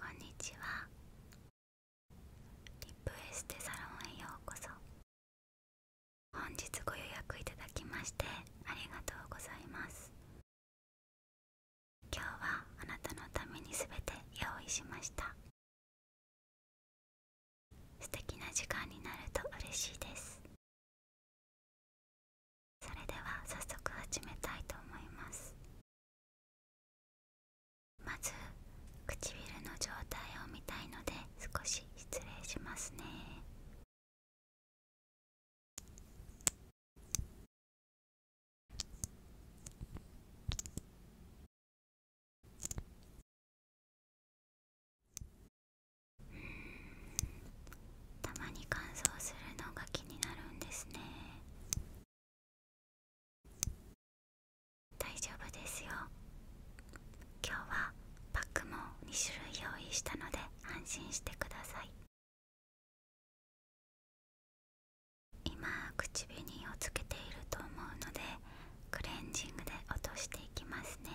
こんにちはリップエステサロンへようこそ本日ご予約いただきましてありがとうございます今日はあなたのために全て用意しました素敵な時間になると嬉しいですそれでは早速始めたいと思いますまず唇の状態を見たいので少し失礼しますねうんたまに乾燥するのが気になるんですね大丈夫ですよ今日はパックも2種類用意したので安心してください今唇にをつけていると思うのでクレンジングで落としていきますね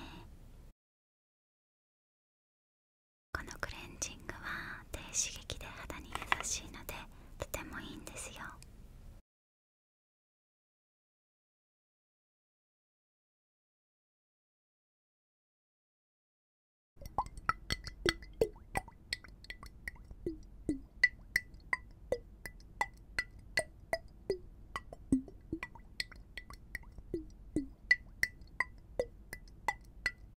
このクレンジングは低刺激で肌に優しいのでとてもいいんですよ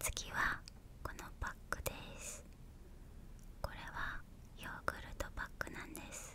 次はこのパックですこれはヨーグルトパックなんです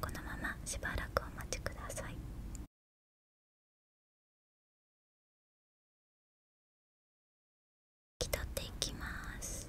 このまましばらくお待ちください引き取っていきます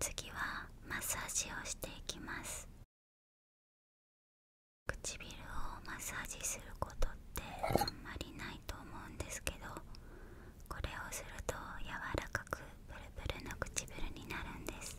次はマッサージをしていきます唇をマッサージすることってあんまりないと思うんですけどこれをすると柔らかくプルプルの唇になるんです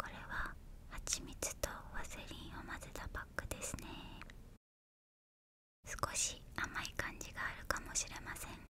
これは蜂蜜とワセリンを混ぜたパックですね少し甘い感じがあるかもしれません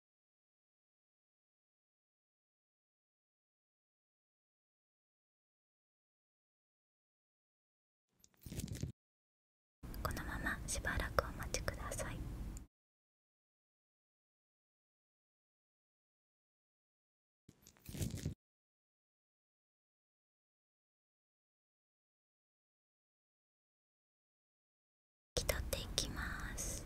このまましばらくお待ちください。拭き取っていきます。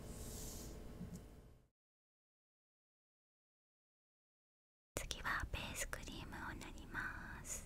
次はベースクリームを塗ります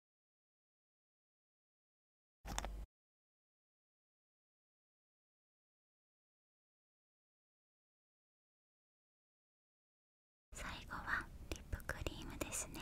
最後はリップクリームですね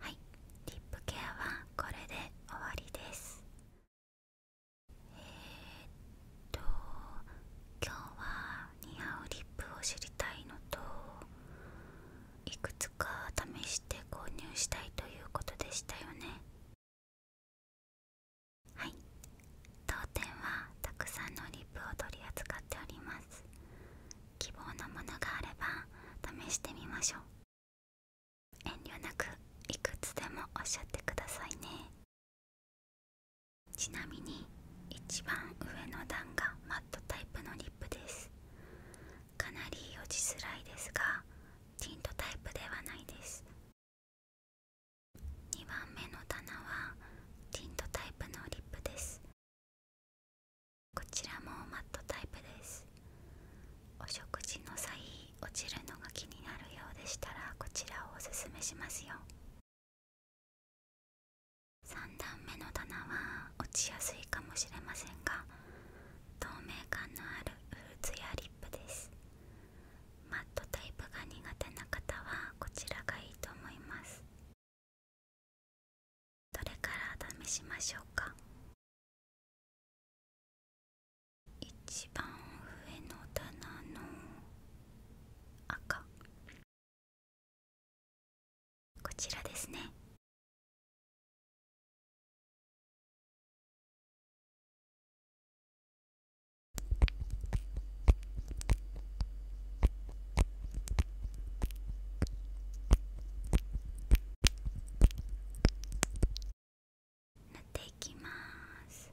はいリップケアはこれで終わりですえっと今日は似合うリップを知りたいのといくつか試して購入したいということでしたよねはい当店はたくさんのリップを取り扱っております希望のものがあれば試してみましょう遠慮なくいくつでもおっしゃってくださいねちなみに一番上の段がマットタイプのリップですかなり落ちづらいですがティントタイプではないです2番目の棚はティントタイプのリップですこちらもマットタイプですお食事の際落ちるのが気になるようでしたらこちらをおすすめしますよ3段目の棚は落ちやすいかもしれませんが透明感のあるフルーツやリップですマットタイプが苦手な方はこちらがいいと思いますどれから試しましょうか一番上の棚の赤こちらですね塗っていきます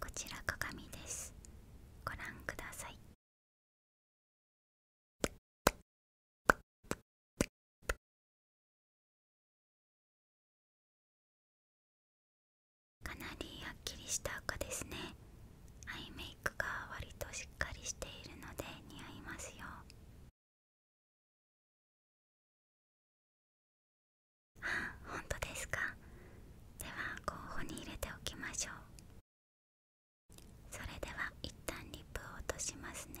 こちら鏡です。ご覧ください。かなりはっきりした赤ですねアイメイクが割としっかりしているので似合いますよあ本当ですかでは候補に入れておきましょうそれでは一旦リップを落としますね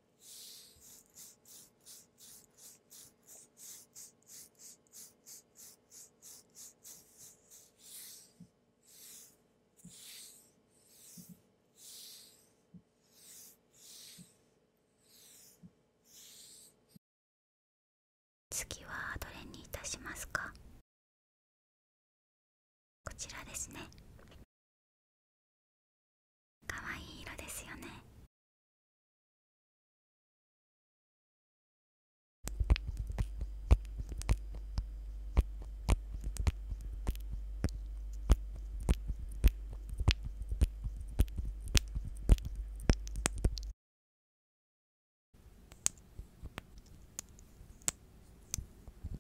次はどれにいたしますかこちらですねかわいい色ですよね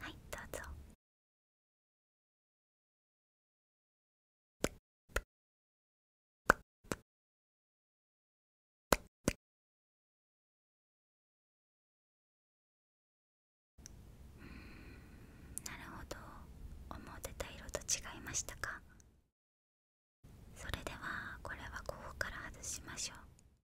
はいどうぞなるほど思ってた色と違いましたかそれではこれはここから外しましょう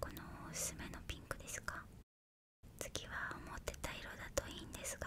この薄めのピンクですか次は思ってた色だといいんですが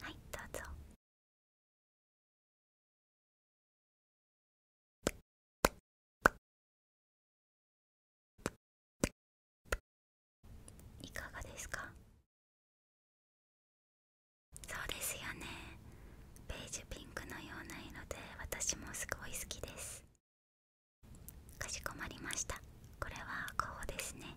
はいどうぞいかがですかそうですよねベージュピンクのような色で私もすごい好きですかしこまりましたこれはこうですね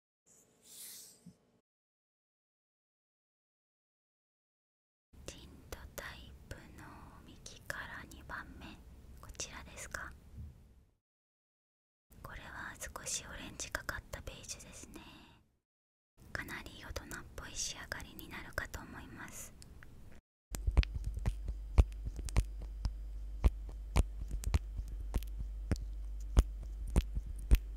ティントタイプの右から2番目こちらですかこれは少しオレンジかかったページですねかなり大人っぽい仕上がりになるかと思います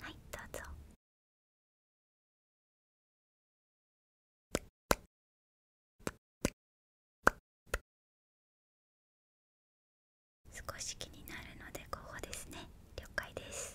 はいどうぞ。少し気になるのでここですね了解です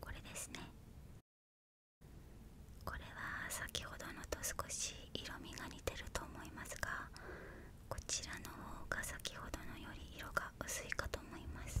これですねこれは先ほどのと少し色味が似てると思いますがこちらの方が先ほどのより色が薄いかと思います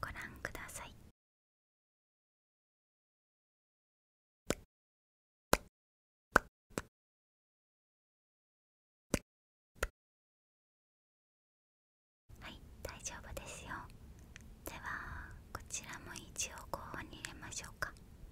ご覧ください。はい、大丈夫ですよ。ではこちらも一応候補に入れましょうか。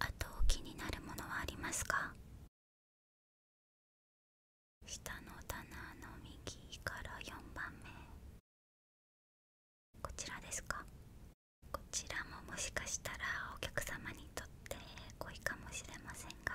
あと気になるものはありますか下の棚の右から4番目こちらですかこちらももしかしたらお客様にとって濃いかもしれませんが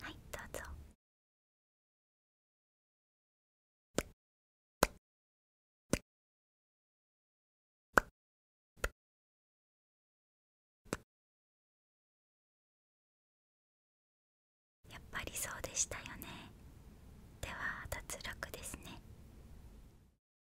はいどうぞやっぱりそうでしたよねでは脱落ですね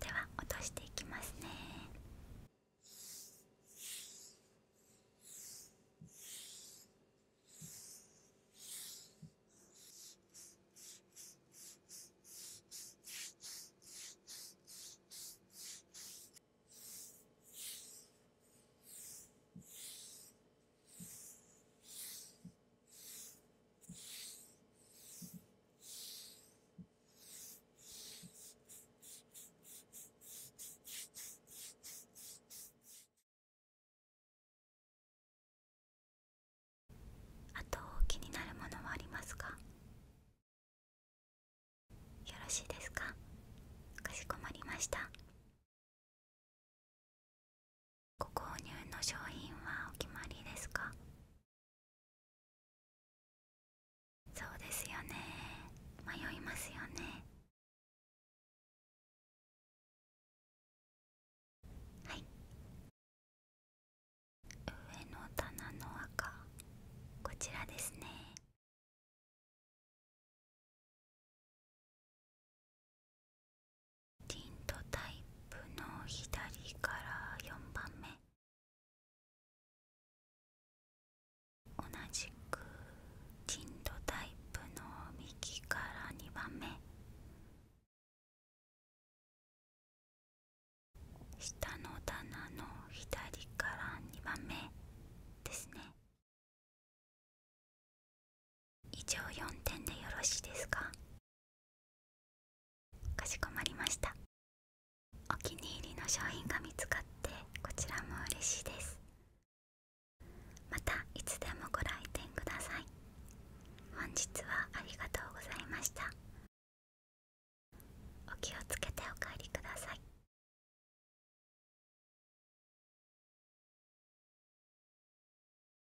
では落としていきますねあと気になるものはありますかよろしいですかかしこまりましたご購入の商品はお決まりですかそうですよね迷いますよねはい上の棚の赤こちらですねティントタイプの左から4番目同じくティントタイプの右から2番目下の棚の左から2番目ですね以上4点でよろしいですかかしこまりましたお気に入りの商品が見つかってこちらも嬉しいですまたいつでもご来店ください本日はありがとうございましたお気をつけてお帰りください